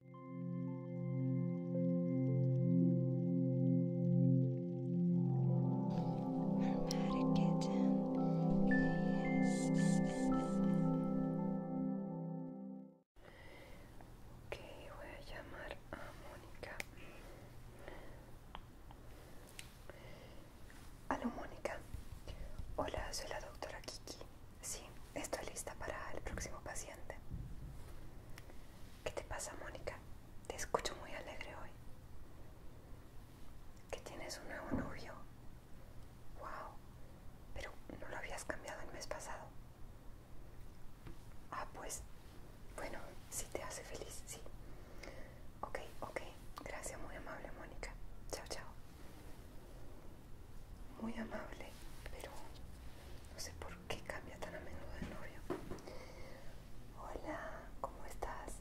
Ok, voy a llamar a Mónica. Aló Mónica. Hola, soy la doctora Kiki. Sí, estoy lista para el próximo paciente. ¿Qué te pasa, Mónica? Te escucho muy alegre hoy. ¿Que tienes un nuevo novio? ¡Wow! Pero no lo habías cambiado el mes pasado. Ah, pues, bueno, si te hace feliz, sí. Ok, ok. Gracias, muy amable, Mónica. Chao, chao muy amable, pero no sé por qué cambia tan a menudo de novio. Hola, ¿cómo estás?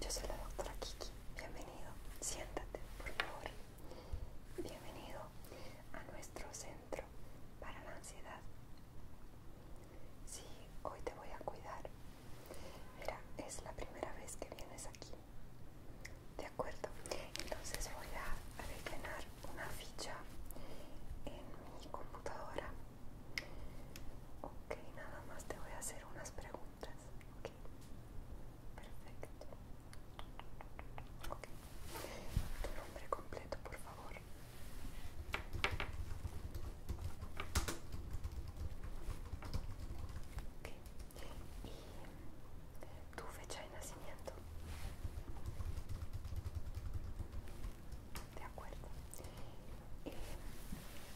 Yo soy la doctora Kiki. Bienvenido. Siéntate, por favor. Bienvenido a nuestro centro para la ansiedad. Sí, hoy te voy a cuidar. Mira, es la primera vez que vienes aquí de acuerdo entonces voy a rellenar una ficha en mi computadora ok nada más te voy a hacer unas preguntas ok perfecto ok tu nombre completo por favor y tu fecha de nacimiento. De acuerdo. Eh,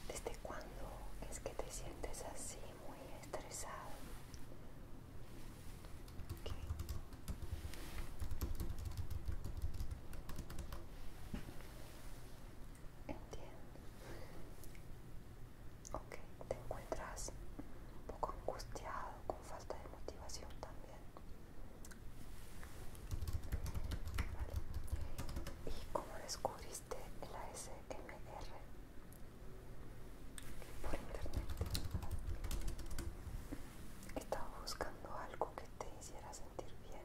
¿Desde cuándo es que te sientes así, muy estresado? Entiendo. Ok, te encuentras un poco angustiado, falta de motivación también. ¿Y cómo descubriste el ASMR? Por internet. Estaba buscando algo que te hiciera sentir bien.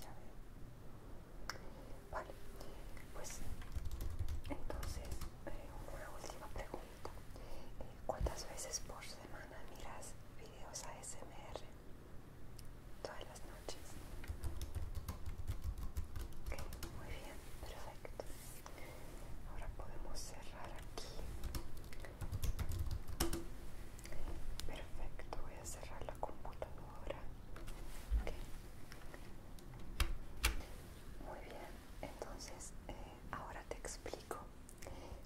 Ya veo. Vale. Pues entonces, eh, una última pregunta. ¿Cuántas veces por semana miras videos ASMR? Todas las noches. Ok, muy bien, perfecto. Ahora podemos cerrar aquí. Perfecto, voy a cerrar la computadora. Ok Muy bien, entonces... Eh, ahora te explico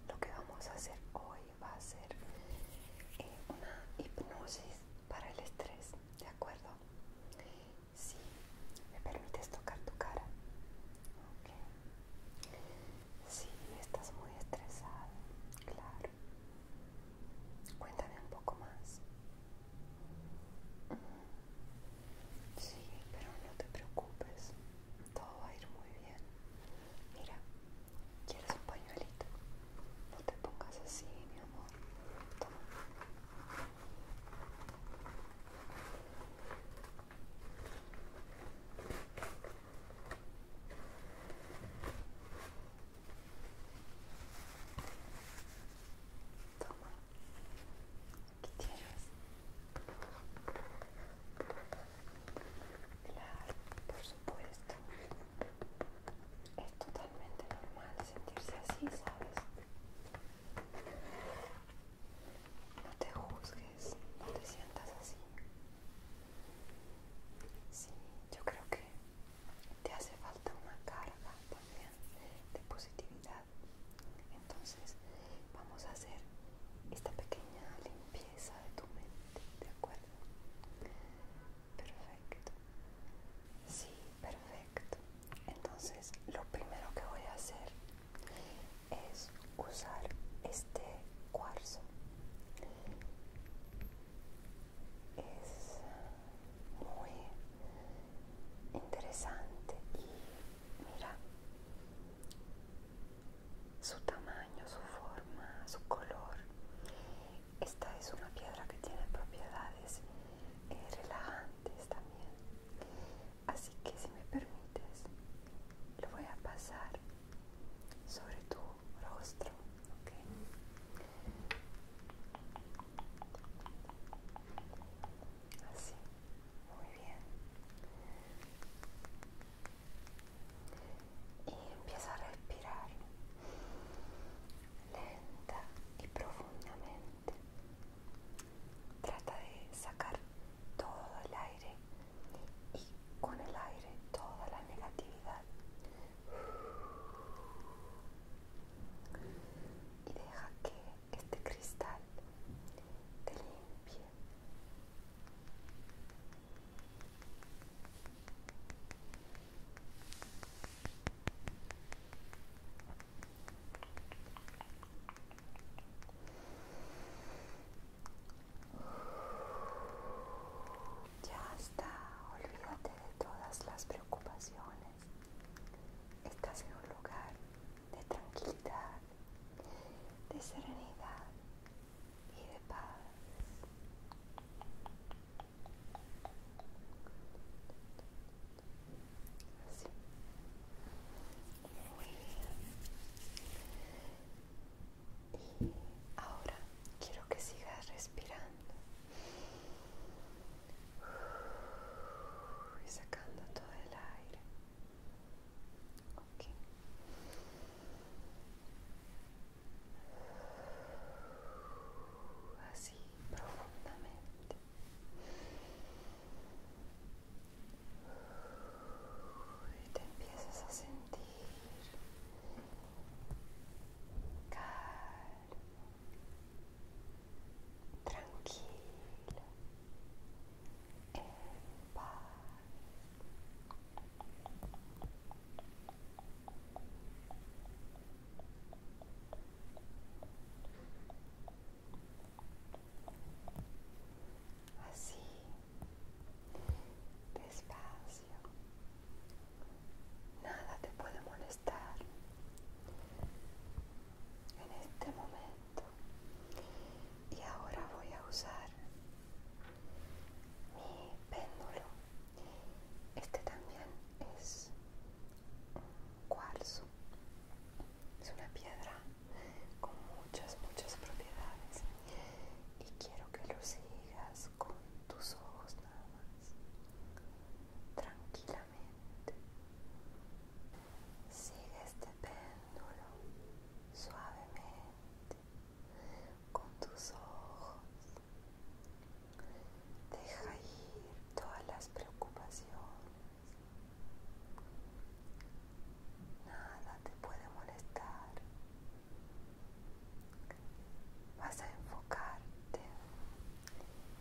lo que vamos a hacer hoy va a ser eh, una hipnosis para el estrés de acuerdo si me permites tocar tu cara Ok si estás muy estresada. claro cuéntame un poco más Sí, pero no te preocupes, todo va a ir muy bien. Mira, ¿quieres un pañuelito? No te pongas así, mi amor. Toma, ¿Qué tienes? Claro, por supuesto. Es totalmente normal sentirse así, ¿sabes? No te juzgues, no te sientas así. Sí, yo creo que te hace falta una carga de positividad. Entonces, vamos a hacer esta pequeña limpieza de tu mente, ¿de acuerdo? Perfecto. Sí, perfecto. Entonces, lo primero que voy a hacer es usar este cuarzo. Es muy interesante y Mira su tamaño, su forma, su color. Esta es una piedra que tiene propiedades eh, relajantes también. Así que si me permites, lo voy a pasar sobre tu rostro. Así. Muy bien. Y empieza a respirar lenta y profundamente. Trata de sacar todo el aire y con el aire toda la negatividad. Y deja que este cristal te limpie. Ya está, olvídate de todas las preocupaciones. Estás en un lugar de tranquilidad, de serenidad y de paz. Así. Muy bien. Y ahora quiero que sigas respirando y sacando todo el aire. Así profundamente. Y te empiezas a sentir tranquilo, en paz. Así, despacio, nada te puede molestar en este momento y ahora voy a usar mi péndulo este también es un cuarzo es una piedra con muchas muchas propiedades y quiero que lo sigas con tus ojos nada más tranquila Sigue este péndulo suavemente con tus ojos. Deja ir todas las preocupaciones. Nada te puede molestar. Vas a enfocarte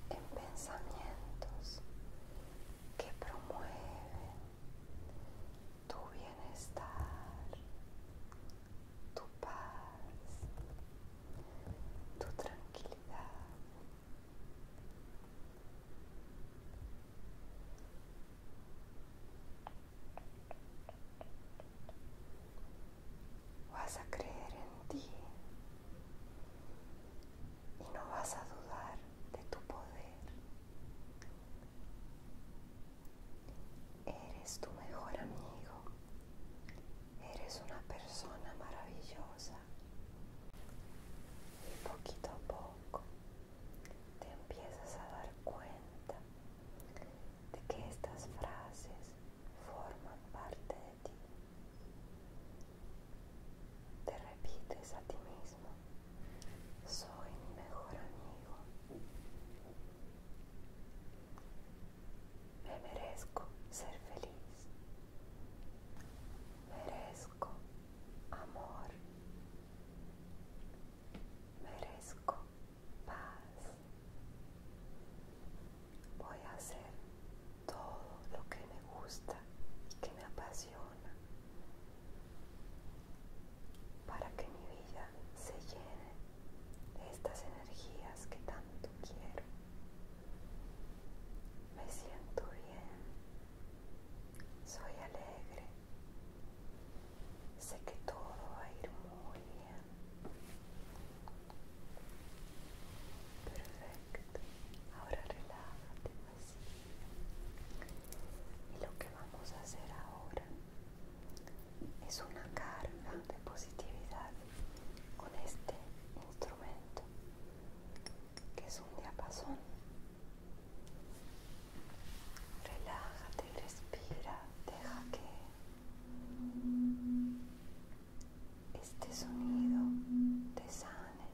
en pensamientos que promueven tu bienestar, tu paz, tu tranquilidad. Vas a creer en ti y no vas a dudar de tu poder. Eres tu mejor amigo. Eres una persona maravillosa. Y poquito a poco te empiezas a dar cuenta de que estas frases forman parte de ti. Te repites a ti mismo, soy mi mejor amigo. Me merezco ser feliz. Merezco amor. Merezco paz voy a hacer todo lo que me gusta y que me apasiona para que mi vida se llene de estas energías que tanto quiero. Me siento bien, soy alegre, sé que todo va a ir muy bien. Perfecto. Ahora relájate Y lo que vamos a hacer ahora es una carga de positividad con este instrumento que es un diapasón. Relájate, respira, deja que este sonido te sane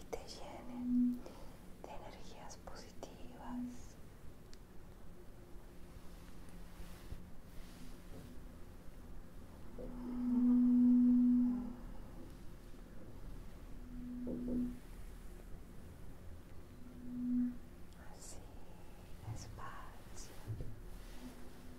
y te llene de energías positivas. Así, despacio.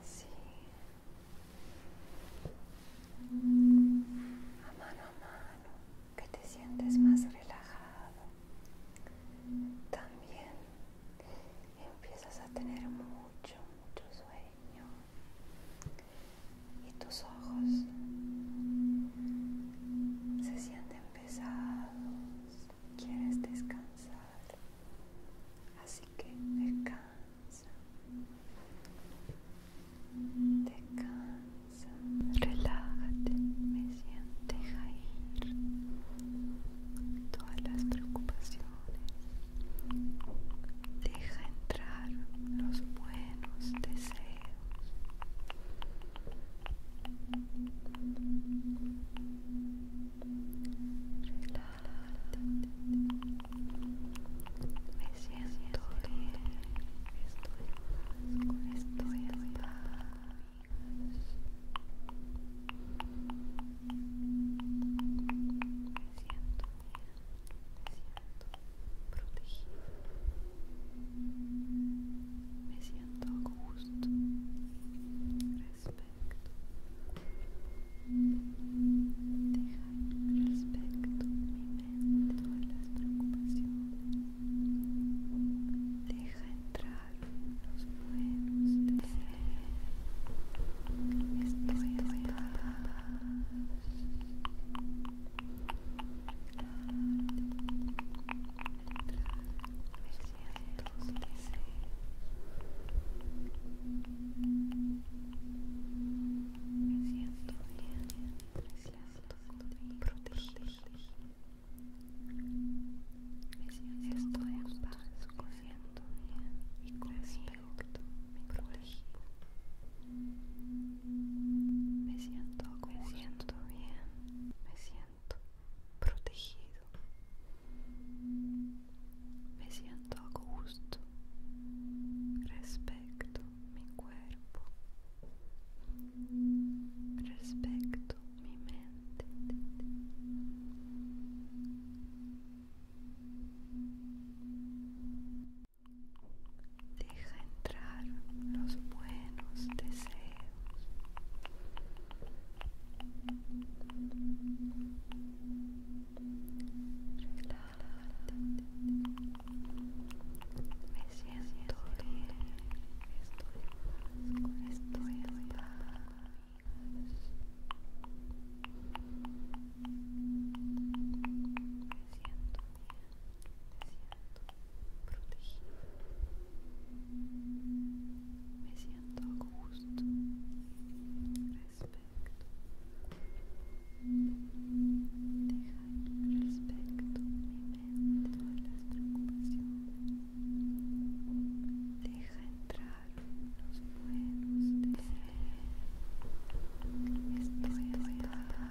así a mano a mano que te sientes más relajado también empiezas a tener mucho mucho sueño y tus ojos se sienten pesados quieres descansar Así que descansa, descansa, relájate, me deja ir todas las preocupaciones, deja entrar los buenos deseos. Relájate. Me siento bien. Estoy paz estoy en paz. Me siento bien. Me siento protegido, Me siento a gusto. Respeto. Deja Dejar respecto mi mente todas las preocupaciones. Deja entrar los buenos deseos. Estoy en paz. Entrar, me siento bien, me siento Me siento en paz, me siento bien protegido. Me siento, me bien, me siento protegido me siento a gusto respecto mi cuerpo respecto mi mente deja entrar los buenos deseos me siento bien. Estoy, estoy en paz. Me siento bien. Me siento protegido me siento a gusto respecto dejar respecto mi mente todas las preocupaciones deja entrar los buenos deseos estoy voy paz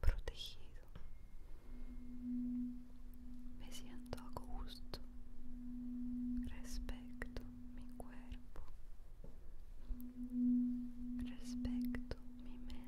protegido. Me siento a gusto respecto mi cuerpo, respecto mi mente.